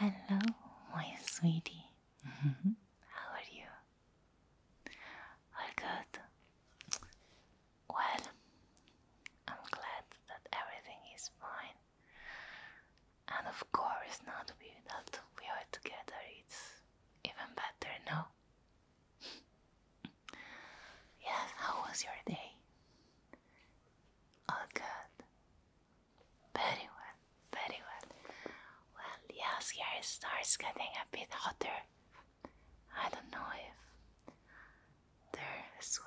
Hello, my sweetie. Mm-hmm. How are you? All good. Well, I'm glad that everything is fine. And of course, now we, that we are together, it's even better, no? Yes, how was your day? All good. Very well, very well. Well, yes, it starts getting a bit hotter. I don't know if there as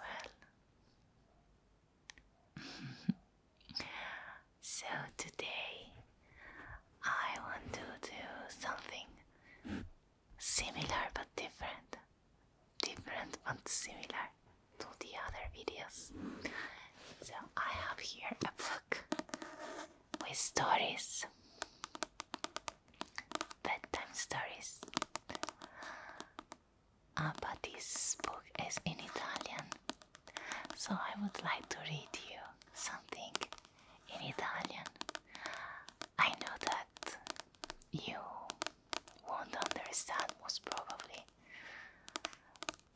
well. so today I want to do something Similar but different. Different but similar to the other videos. So I have here a book with stories. Bedtime stories. Uh, but this book is in Italian. So I would like to read you something in Italian. I know that you won't understand most probably.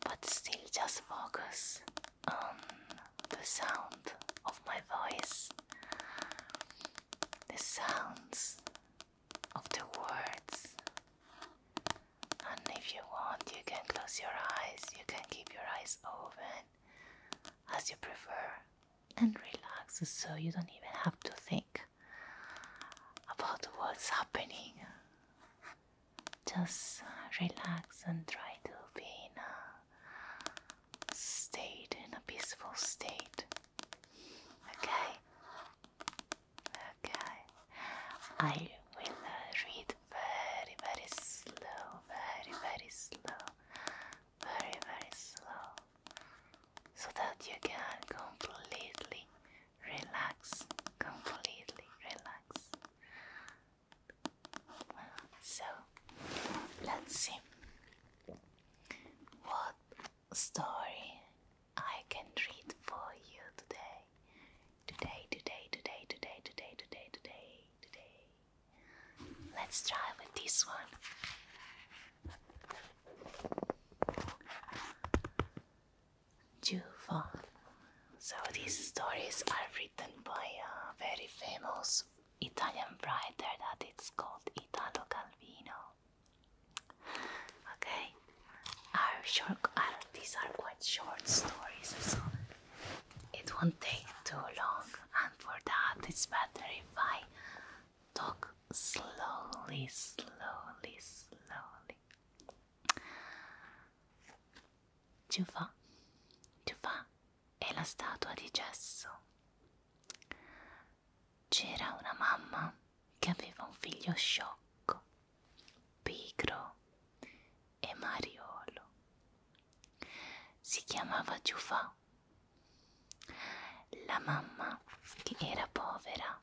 But still, just focus on the sound of my voice, the sounds of the words. And if you want, you can close your eyes, you can keep your eyes open as you prefer and relax so you don't even have to think about what's happening. Just uh, relax and try to be in a state, in a peaceful state. Okay? Okay. I will uh, read very, very slow, very, very slow very very slow so that you can completely relax completely relax so let's see what story I can read for you today today today today today today today today today let's try with this one Jufa. So these stories are written by a very famous Italian writer that it's called Italo Calvino. Okay, are short, these are quite short stories, so it won't take too long, and for that it's better if I talk slowly, slowly, slowly. Giufà, Giufà è la statua di gesso. C'era una mamma che aveva un figlio sciocco, pigro e mariolo. Si chiamava Giufà mamma. La mamma, che era povera,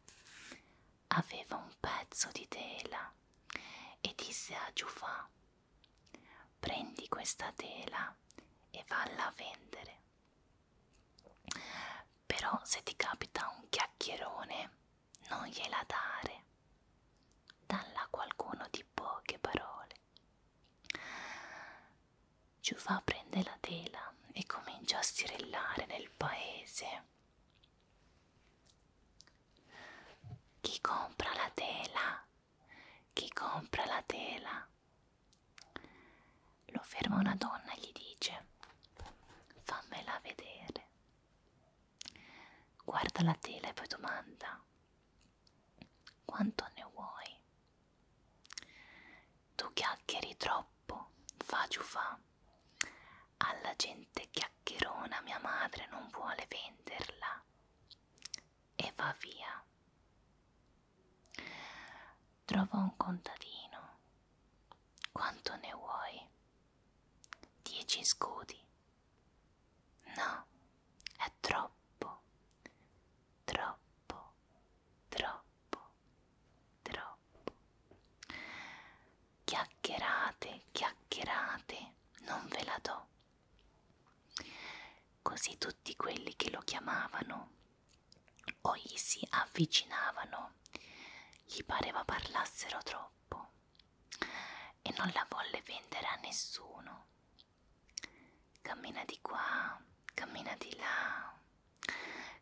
aveva un pezzo di tela e disse a Giufà prendi questa tela e valla a vendere. Però se ti capita un chiacchierone non gliela dare. Dalla qualcuno di poche parole fare. Giufà prende la tela e comincia a stirellare nel paese. Chi compra la tela? Chi compra la tela? Lo ferma una donna e gli dice: Fammela vedere. Guarda la tela e poi domanda: Quanto ne vuoi? Tu chiacchieri troppo, fa giufà. Alla gente chiacchierona mia madre non vuole venderla. E va via. Trova un contadino. Quanto ne vuoi? Dieci scudi. No, è troppo, troppo, troppo troppo, troppo. Chiacchierate, chiacchierate, non ve la do. Così tutti quelli che lo chiamavano o gli si avvicinavano, gli pareva parlassero troppo e non la volle vendere a nessuno. Cammina di qua, cammina di là,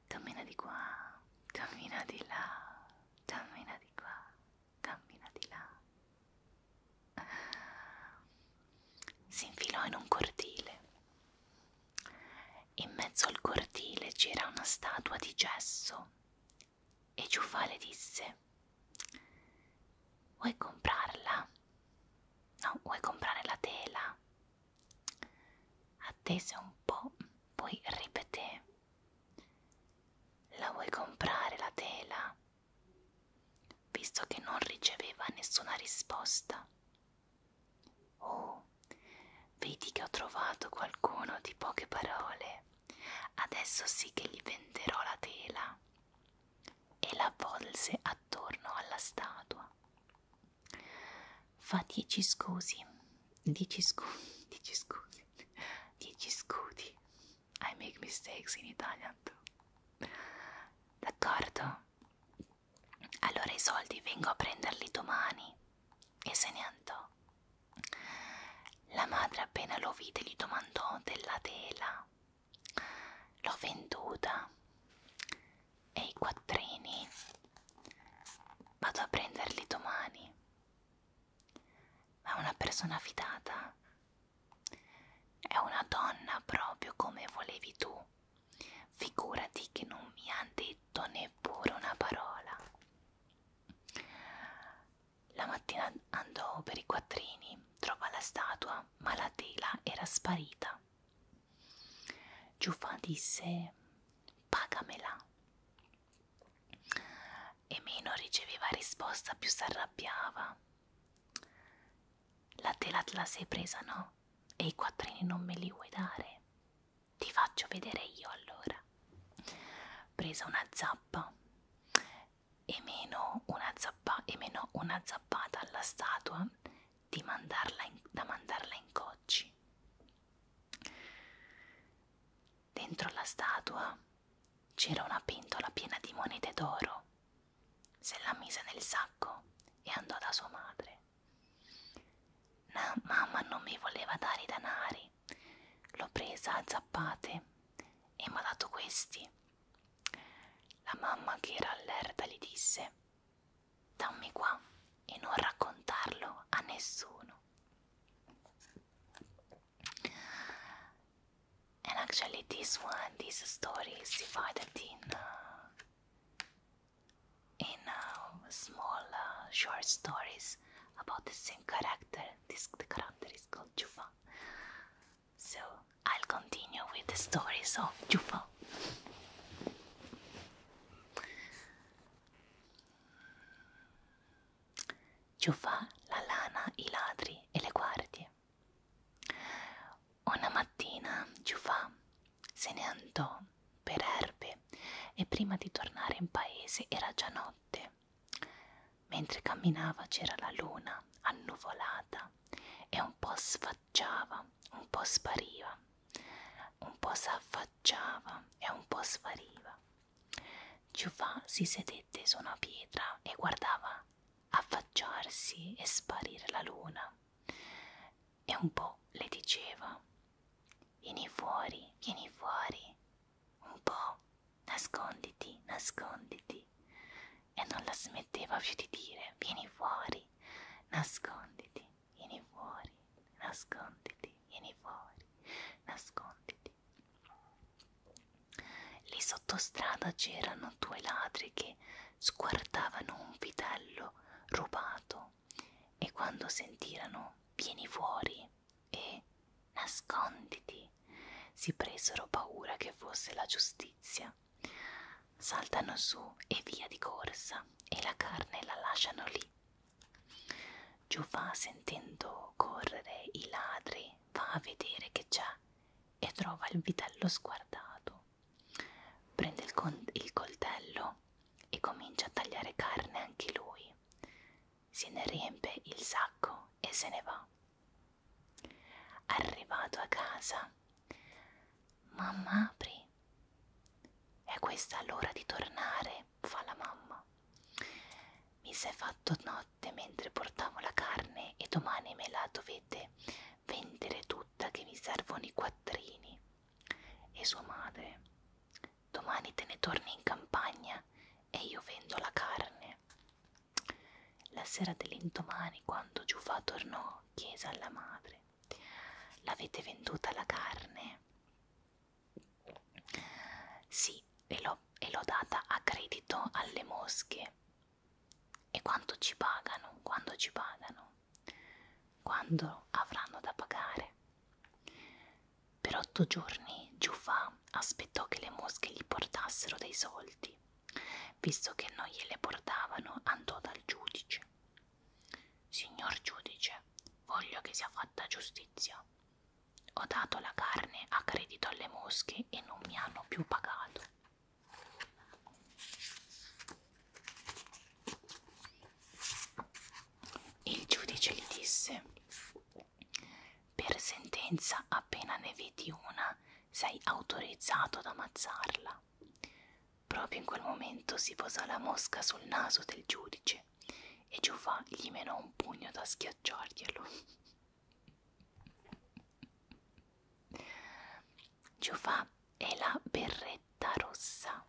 cammina di qua, cammina di là, cammina di qua, cammina di là. Si infilò in un cortile. In mezzo al cortile c'era una statua di gesso e Giufà le disse Vuoi comprarla? No, vuoi comprare la tela? Attese un po', poi ripeté: La vuoi comprare la tela? Visto che non riceveva nessuna risposta. Oh, vedi che ho trovato qualcuno di poche parole. Adesso sì che gli venderò la tela. E la volse attorno alla statua fa 10 scusi 10 scusi 10 scusi 10 scudi I make mistakes in Italian too d'accordo? allora i soldi vengo a prenderli domani e se ne andò la madre appena lo vide gli domandò della tela l'ho venduta e i quattrini vado a prenderli domani ma è una persona fidata è una donna proprio come volevi tu figurati che non mi ha detto neppure una parola la mattina andò per i quattrini trova la statua ma la tela era sparita Giuffà disse pagamela. E meno riceveva risposta, più s'arrabbiava. La tela te la sei presa, no? E i quattrini non me li vuoi dare? Ti faccio vedere io allora. Presa una zappa e meno una, zappa, e meno una zappata alla statua di mandarla in, da mandarla in cocci. Dentro la statua c'era una pentola piena di monete d'oro. Se la mise nel sacco e andò da sua madre. Na, mamma non mi voleva dare i denari. L'ho presa a zappate e mi ha dato questi. La mamma che era allerta gli disse dammi qua e non raccontarlo a nessuno. And actually, this one, this story is divided in uh, in uh, small uh, short stories about the same character. This the character is called Juba. So I'll continue with the stories of Yupo. Ciuffa la lana, i ladri e le guardie. Una mattina Ciuffa se ne andò per erbe e prima di tornare in paese era già notte. Mentre camminava c'era la luna annuvolata e un po' sfasciata s'affacciava, un po' spariva, un po' s'affacciava e un po' spariva. Giuffà si sedette su una pietra e guardava affacciarsi e sparire la luna e un po' le diceva Vieni fuori, vieni fuori, un po' nasconditi, nasconditi e non la smetteva più di dire vieni fuori, nasconditi, vieni fuori, nasconditi, vieni fuori, nasconditi. Lì sottostrada c'erano due ladri che sguardavano un vitello rubato e quando sentirono vieni fuori e nasconditi si presero paura che fosse la giustizia Saltano su e via di corsa e la carne la lasciano lì. Giufà, sentendo correre i ladri, va a vedere che c'è e trova il vitello sguardato. Prende il, con il coltello e comincia a tagliare carne anche lui. Se ne riempie il sacco e se ne va. Arrivato a casa, Mamma apri. È questa l'ora di tornare, fa la mamma. Mi sei fatto notte mentre portavo la carne e domani me la dovete vendere tutta che vi servono i quattrini. E sua madre. Domani te ne torni in campagna e io vendo la carne. La sera dell'indomani, quando Giufà tornò, chiese alla madre L'avete venduta la carne? Sì, e l'ho data a credito alle mosche. E quanto ci pagano? Quando ci pagano? Quando avranno da pagare? Per otto giorni Giufà aspettò che le mosche gli portassero dei soldi Visto che non gliele portavano, andò dal giudice. Signor giudice, voglio che sia fatta giustizia. Ho dato la carne a credito alle mosche e non mi hanno più pagato. Il giudice gli disse, per sentenza appena ne vedi una sei autorizzato ad ammazzarla. Proprio in quel momento si posò la mosca sul naso del giudice e Giuffà gli menò un pugno da schiacciarglielo. Giuffà è la berretta rossa.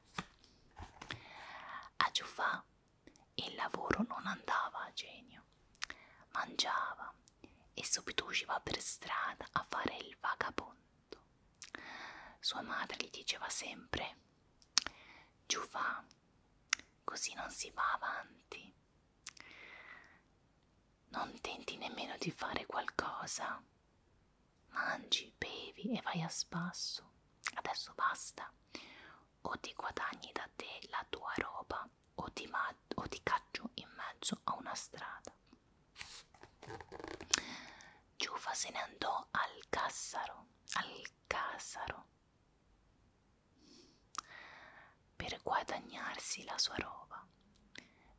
A Giuffà il lavoro non andava a genio. Mangiava e subito usciva per strada a fare il vagabondo fatto. Sua madre gli diceva sempre: Giù va, così non si va avanti. Non tenti nemmeno di fare qualcosa. Mangi, bevi e vai a spasso. Adesso basta. O ti guadagni da te la tua roba o ti, o ti caccio in mezzo a una strada. Giufa se ne andò al Cassaro, al Cassaro per guadagnarsi la sua roba.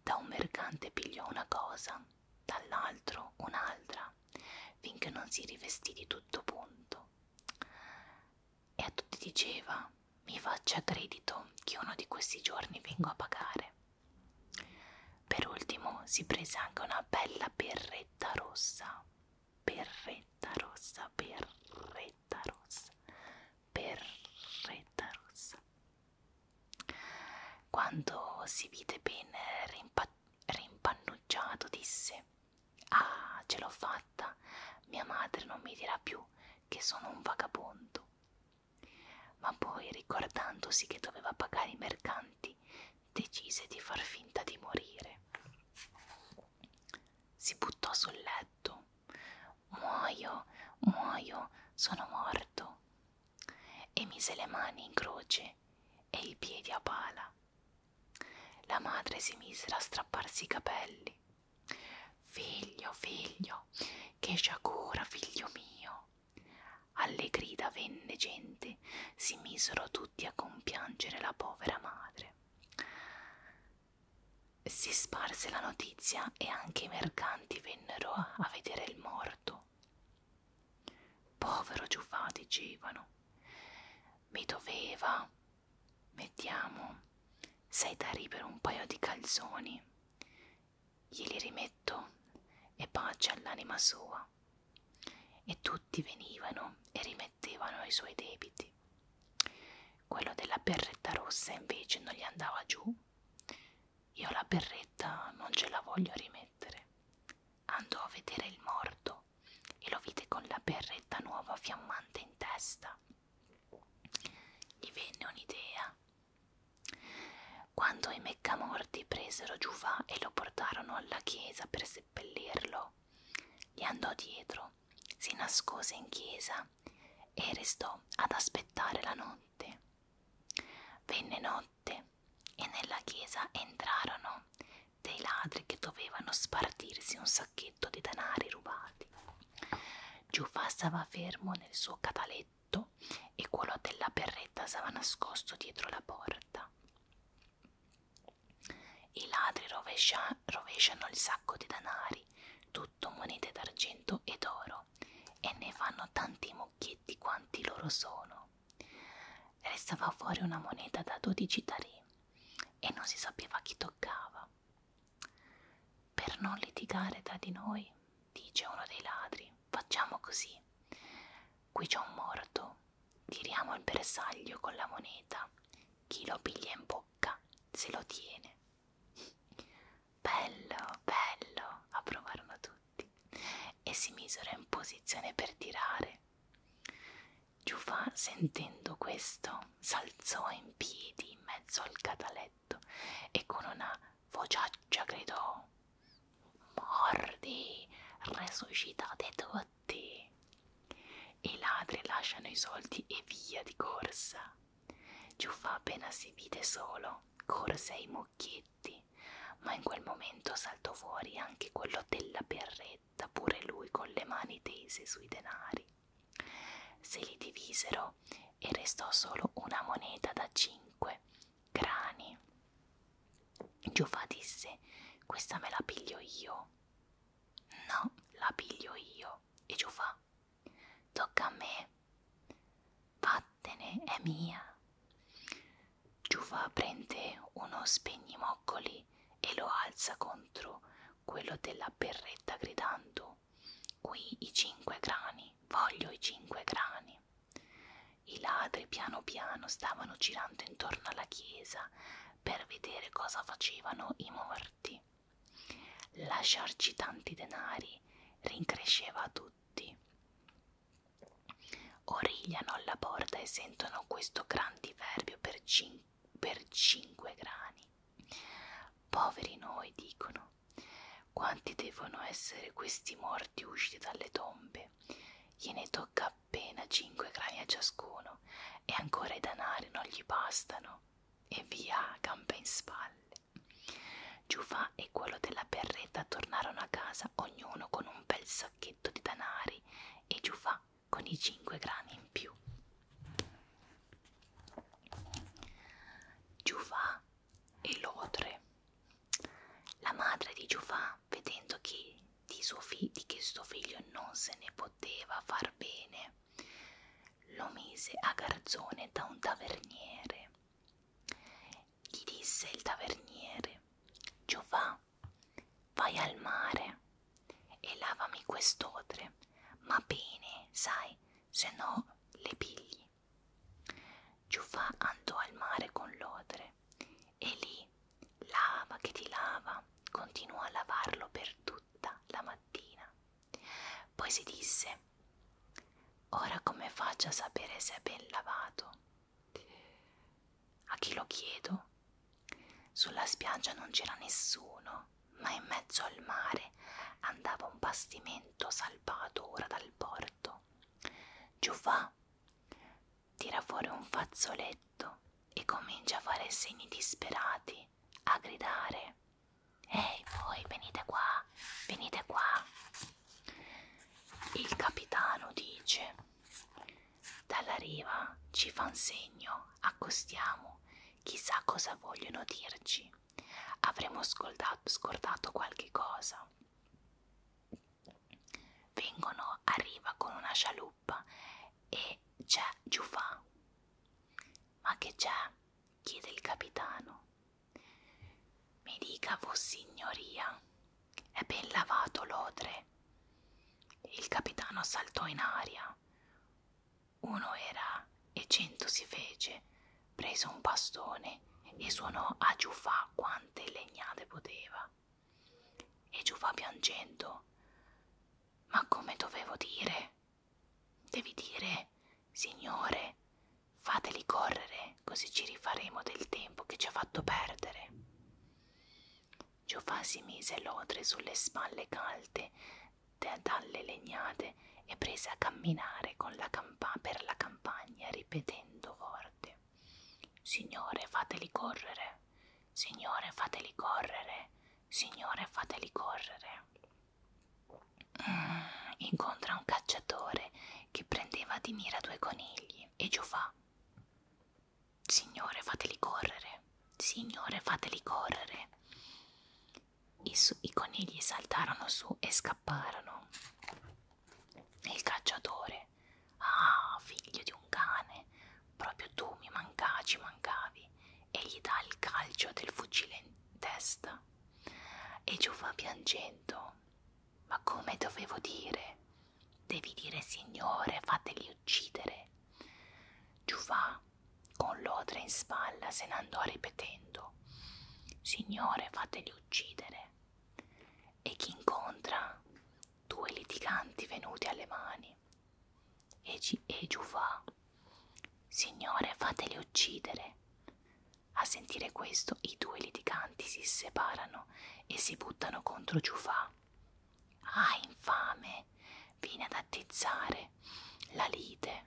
Da un mercante pigliò una cosa, dall'altro un'altra, finché non si rivestì di tutto punto. E a tutti diceva: Mi faccia credito che uno di questi giorni vengo a pagare. Per ultimo si prese anche una bella berretta rossa, berretta rossa, berretta rossa, berretta rossa. Quando si vide ben rimpa rimpannuggiato disse Ah, ce l'ho fatta, mia madre non mi dirà più che sono un vagabondo. Ma poi, ricordandosi che doveva pagare i mercanti, decise di far finta di morire. Si buttò sul letto. Muoio, muoio, sono morto. E mise le mani in croce e i piedi a pala. La madre si mise a strapparsi i capelli. Figlio, figlio, che sciagura, figlio mio, alle grida venne gente, si misero tutti a compiangere la povera madre. Si sparse la notizia e anche i mercanti vennero a vedere il morto. Povero Giuffà, dicevano. Mi doveva, mettiamo, sei tarì per un paio di calzoni glieli rimetto e pace all'anima sua. E tutti venivano e rimettevano i suoi debiti. Quello della berretta rossa invece non gli andava giù. Io la berretta non ce la voglio rimettere. Andò a vedere il morto e lo vide con la berretta nuova fiammante in testa. Gli venne un'idea quando i meccamorti presero Giuva e lo portarono alla chiesa per seppellirlo, gli andò dietro, si nascose in chiesa e restò ad aspettare la notte. Venne notte e nella chiesa entrarono dei ladri che dovevano spartirsi un sacchetto di denari rubati. Giuva stava fermo nel suo cataletto sotto e quello della berretta stava nascosto dietro la porta. I ladri rovescia, rovesciano il sacco di denari, tutto monete d'argento ed oro, e ne fanno tanti mucchietti quanti loro sono. Restava fuori una moneta da 12 tarì e non si sapeva chi toccava per non litigare tra di noi, dice uno dei ladri, facciamo così. Qui c'è un morto, tiriamo il bersaglio con la moneta, chi lo piglia in bocca se lo tiene. Bello, bello, approvarono tutti e si misero in posizione per tirare. Giufà, sentendo questo, s'alzò in piedi in mezzo al cataletto petto e con una vociaccia gridò Mordi, resuscitate tutti! I ladri lasciano i soldi e via di corsa. Giuffa appena si vide solo, corse ai mucchietti, ma in quel momento saltò fuori anche quello della berretta, pure lui con le mani tese sui denari. Se li divisero e restò solo una moneta da cinque due grani. Giova disse: Questa me la piglio io. No, la piglio io. E Giova: Tocca a me. Vattene, è mia. Giova prende uno spegnimoccoli e lo alza contro quello della berretta gridando voglio qui i 5 grani, voglio i 5 grani. I ladri piano piano stavano girando intorno alla chiesa per vedere cosa facevano i morti. Lasciarci tanti denari rincresceva a tutti. Origliano alla porta e sentono questo gran diverbio per, cin per cinque grani. Poveri noi, dicono, Dio, quanti devono essere questi morti usciti dalle tombe? Gliene tocca appena cinque grani a ciascuno, e ancora i danari non gli bastano. E via, gambe in spalle. Giufà e quello della berretta tornarono a casa, ognuno con un bel sacchetto di danari, e Giufà con i cinque grani in più. Giufà e Lotre. La madre di Giufà, vedendo che di, suo di che suo figlio non se ne poteva far bene, lo mise a garzone da un taverniere. Gli disse il taverniere, Giovà, vai al mare e lavami quest'otre, ma bene, sai, se no le pigli. Giuffà andò al mare con l'odre e lì, lava che ti lava, continuò a lavarlo per tutta la mattina. Poi si disse, ora come faccio a sapere se è ben lavato? A chi lo chiedo? Sulla spiaggia non c'era nessuno, ma in mezzo al mare andava un bastimento salvato ora dal porto morto. Giufà tira fuori un fazzoletto e comincia a fare segni disperati, a gridare. Ehi voi, venite qua, venite qua. Il capitano dice, dalla riva ci fan segno, accostiamo, chissà cosa vogliono dirci. Avremo scordato, scordato qualche cosa. Vengono, arriva con una scialuppa e c'è Giufà. Ma che c'è? chiede il capitano. Mi dica vossignoria, è ben lavato l'odre. Il capitano saltò in aria. Uno era e cento si fece, prese un bastone e suonò a Giufà quante legnate poteva. E Giufà piangendo, ma come dovevo dire? Devi dire, Signore, fateli correre, così ci rifaremo del tempo che ci ha fatto perdere. Giufà si mise l'odre sulle spalle calde dalle legnate sedere e prese a camminare con la per la campagna ripetendo forte Signore fateli correre, Signore fateli correre, Signore fateli correre. Mm, incontra un cacciatore che prendeva di mira due conigli e giufà. Signore fateli correre, Signore fateli correre. I, su I conigli saltarono su e scapparono. Il cacciatore, ah, figlio di un cane, proprio tu mi mancaci, mancavi, e gli dà il calcio del fucile in testa. E giù va piangendo. Ma come dovevo dire? Devi dire, signore, fateli uccidere. Giuvà, con l'odre in spalla, se ne andò ripetendo: Signore, fateli uccidere e chi incontra due litiganti venuti alle mani e, e giù va signore fateli uccidere a sentire questo i due litiganti si separano e si buttano contro Giufà. Ah, infame, vieni ad attizzare la lite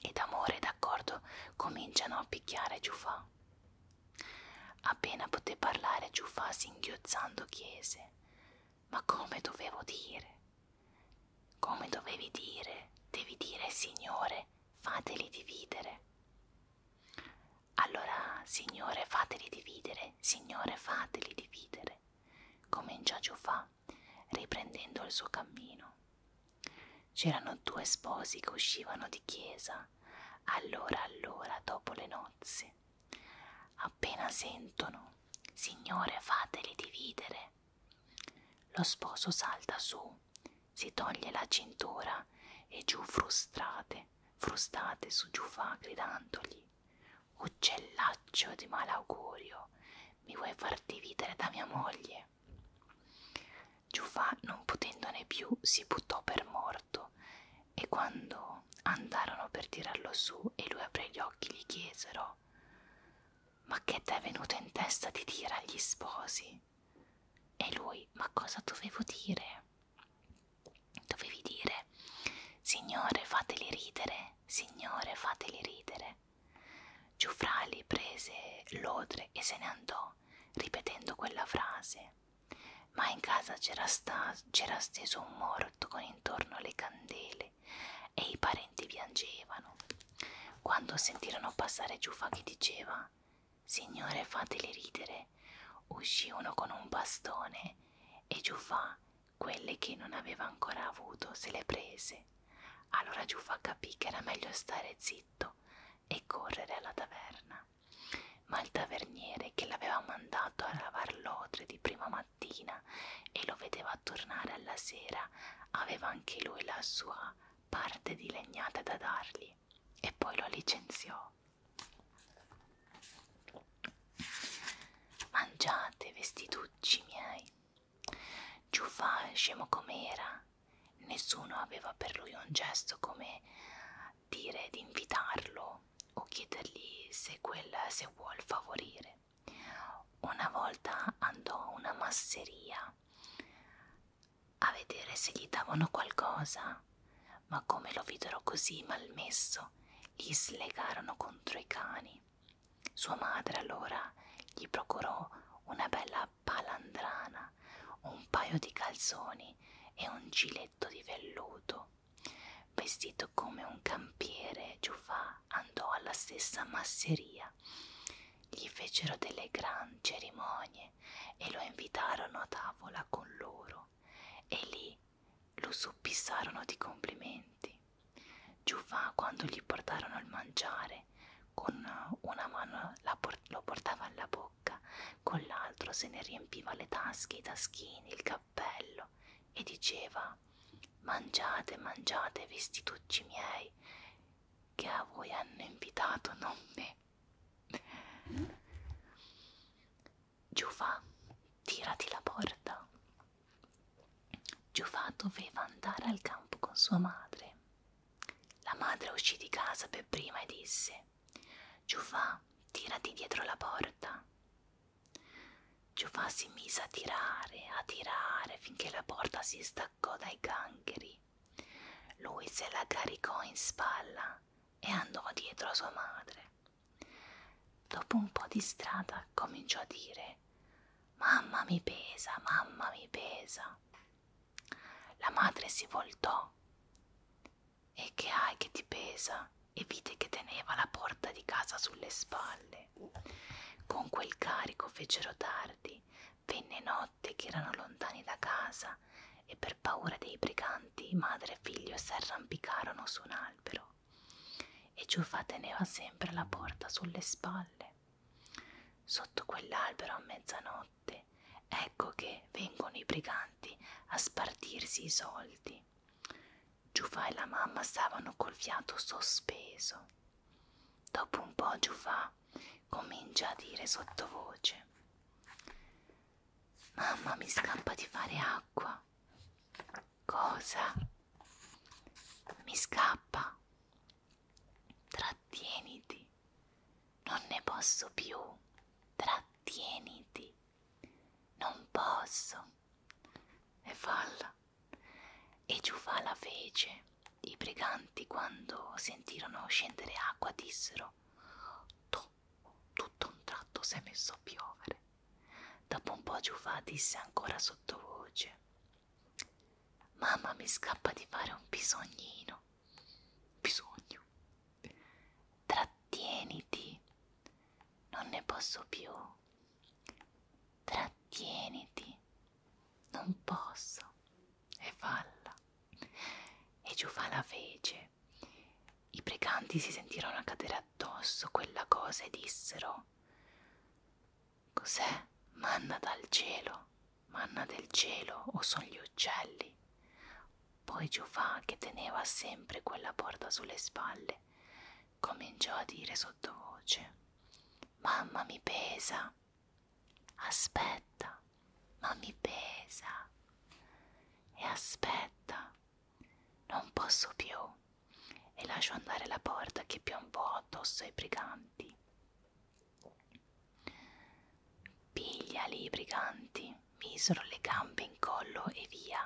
ed amore e d'accordo cominciano a picchiare Giufà. Appena poté parlare Giufà singhiozzando chiese Ma come dovevo dire? Come dovevi dire? Devi dire Signore, fateli dividere. Allora, Signore, fateli dividere, Signore, fateli dividere. Cominciò Giufà riprendendo il suo cammino. C'erano due sposi che uscivano di chiesa allora allora dopo le nozze. Appena sentono, Signore fateli dividere. Lo sposo salta su, si toglie la cintura e giù frustrate, frustate su giù fa gridandogli. Uccellaccio di malaugurio, mi vuoi far dividere da mia moglie? Giufà, non potendone più, si buttò per morto e quando andarono per tirarlo su e lui aprì gli occhi gli chiesero ma che t'è venuto in testa di dire agli sposi? E lui, ma cosa dovevo dire? Dovevi dire, Signore fateli ridere, Signore fateli ridere. Giuffrali prese l'odre e se ne andò, ripetendo quella frase. Ma in casa c'era, c'era steso un morto con intorno le candele e i parenti piangevano. Quando sentirono passare Giuffa che diceva Signore fateli ridere, uscì uno con un bastone e Giuffa, quelle che non aveva ancora avuto, se le prese. Allora Giuffa capì che era meglio stare zitto e correre alla taverna. Ma il taverniere che l'aveva mandato a lavar l'odre di prima mattina e lo vedeva tornare alla sera, aveva anche lui la sua parte di legnate da dargli e poi lo licenziò. Mangiate, vestitucci miei, Giuffà, scemo com'era, nessuno aveva per lui un gesto come dire di invitarlo o chiedergli se quel se vuol favorire. Una volta andò a una masseria a vedere se gli davano qualcosa, ma come lo videro così malmesso, gli slegarono contro i cani. Sua madre allora gli procurò una bella palandrana, un paio di calzoni e un giletto di velluto. Vestito come un campiere, Giuffà andò alla stessa masseria. Gli fecero delle gran cerimonie e lo invitarono a tavola con loro e lì lo suppissarono di complimenti. Giufà quando gli portarono il mangiare, con una mano por lo portava alla bocca, con l'altro se ne riempiva le tasche, i taschini, il cappello e diceva Mangiate, mangiate, vestitucci miei, che a voi hanno invitato, non me. Giufà, tirati la porta. Giufà doveva andare al campo con sua madre la madre uscì di casa per prima e disse: Giufà, tirati dietro la porta. Giufà si mise a tirare, a tirare finché la porta si staccò dai gangheri. Lui se la caricò in spalla e andò dietro a sua madre. Dopo un po' di strada cominciò a dire Mamma mi pesa, mamma mi pesa. La madre si voltò. E che hai che ti pesa? E vide che teneva la porta di casa sulle spalle. Con quel carico fecero tardi, venne notte che erano lontani da casa e per paura dei briganti madre e figlio s'arrampicarono su un albero. E Giufà teneva sempre la porta sulle spalle. Sotto quell'albero a mezzanotte ecco che vengono i briganti a spartirsi i soldi. Giufà e la mamma stavano col fiato sospeso. Dopo un po' Giufà comincia a dire sottovoce Mamma mi scappa di fare acqua. Cosa? Mi scappa. Trattieniti, non ne posso più, trattieniti, non posso. E falla. E Giufala fece. I briganti, quando sentirono scendere acqua, dissero: Tu, tutto un tratto si è messo a piovere. Dopo un po' Giufà disse ancora sottovoce: Mamma mi scappa di fare un bisognino. Bisogno. Trattieniti. Non ne posso più. Trattieniti. Non posso. E falla. E giù fa la fece. I precanti si sentirono cadere addosso quella cosa e dissero Cos'è? Manna dal cielo, manna del cielo o sono gli uccelli? Poi Giufà, che teneva sempre quella porta sulle spalle, cominciò a dire sottovoce Mamma mi pesa. Aspetta, ma mi pesa. E aspetta, non posso più. E lascio andare la porta che piombò addosso ai briganti. Pigliali i briganti misero le gambe in collo e via.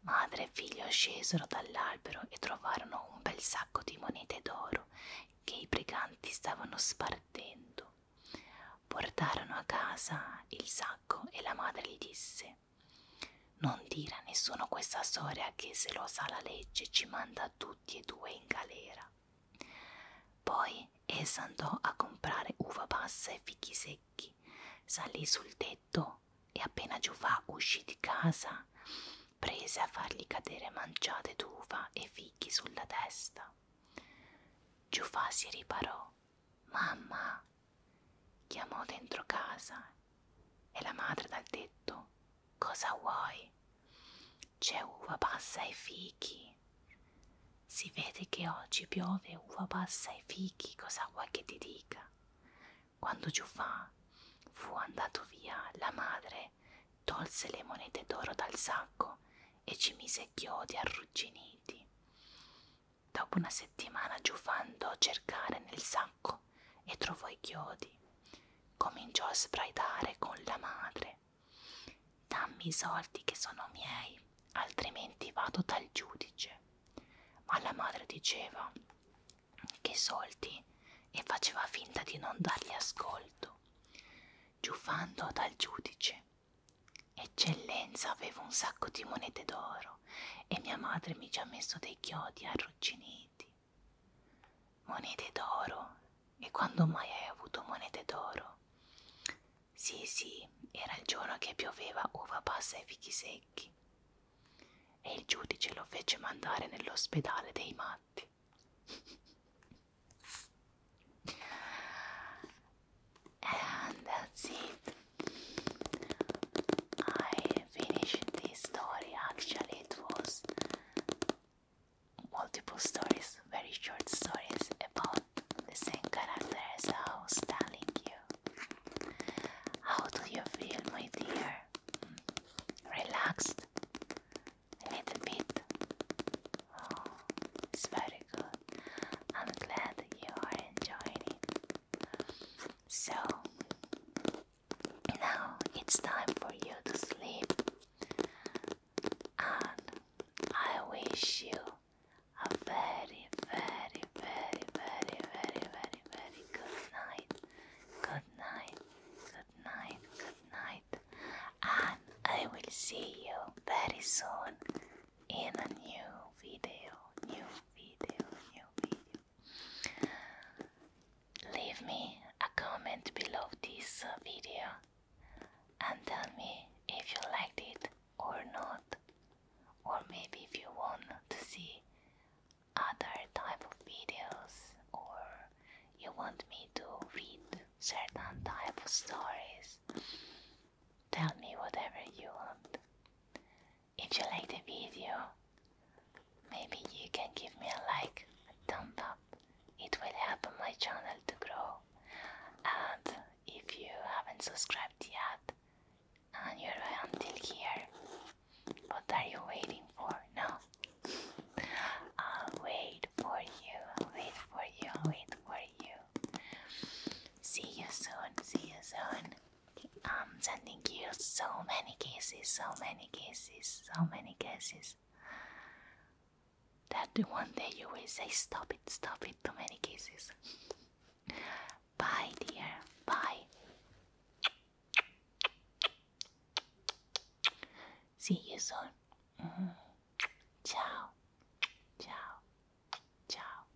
Madre e figlio scesero dall'albero e trovarono un bel sacco di monete d'oro che i briganti stavano spartendo. Portarono a casa il sacco e la madre gli disse Non dire a nessuno questa storia che se lo sa la legge ci manda a tutti tutti e due in galera. Poi essa andò a comprare uva passa e fichi secchi, salì sul tetto e appena Giufà uscì di casa prese a fargli cadere manciate d'uva e fichi sulla testa. Giufà si riparò. Mamma! chiamò dentro casa e la madre dal tetto Cosa vuoi? C'è uva passa e fichi. Si vede che oggi piove uva passa e fichi, cosa vuoi che ti dica? Quando Giuffà fu andato via, la madre tolse le monete d'oro dal sacco e ci mise chiodi arrugginiti. Dopo una settimana Giuffà andò a cercare nel sacco sacco e trovò i chiodi. Cominciò a sbraitare con la madre. Dammi i soldi che sono miei, altrimenti vado dal giudice. Ma la madre diceva che soldi e faceva finta di non dargli ascolto. Giuffando dal giudice. Eccellenza avevo un sacco di monete d'oro e mia madre mi ci ha messo dei chiodi arrugginiti. Monete d'oro. E quando mai hai avuto monete d'oro? Sì, sì, era il giorno che pioveva uva passa e fichi secchi. E il giudice lo fece mandare nell'ospedale dei matti. And that's it. I finished this story. Actually, it was multiple stories, very short stories about the same characters. I was telling you. How do you feel, my dear? Hmm. Relaxed? A little bit? Oh, it's very good. I'm glad you are enjoying it. So, now it's time for you to sleep, and I wish you a very, very, very, very, very, very, very good night. Good night, good night, good night, and I will see you very soon in a new video, new video, new video leave me a comment below this uh, video and tell me if you liked it or not or maybe if you want to see other type of videos or you want me to read certain type of stories tell me whatever you want if you like the video Maybe you can give me a like, a thumb up. It will help my channel to grow. And if you haven't subscribed yet and you're until here, what are you waiting for? No. I'll wait for you, I'll wait for you, I'll wait for you. See you soon, see you soon. I'm sending you so many kisses, so many kisses so many kisses. that the one day you will say, Stop it, stop it, too many kisses. bye, dear, bye. See you soon. Mm-hmm. Ciao, ciao, ciao.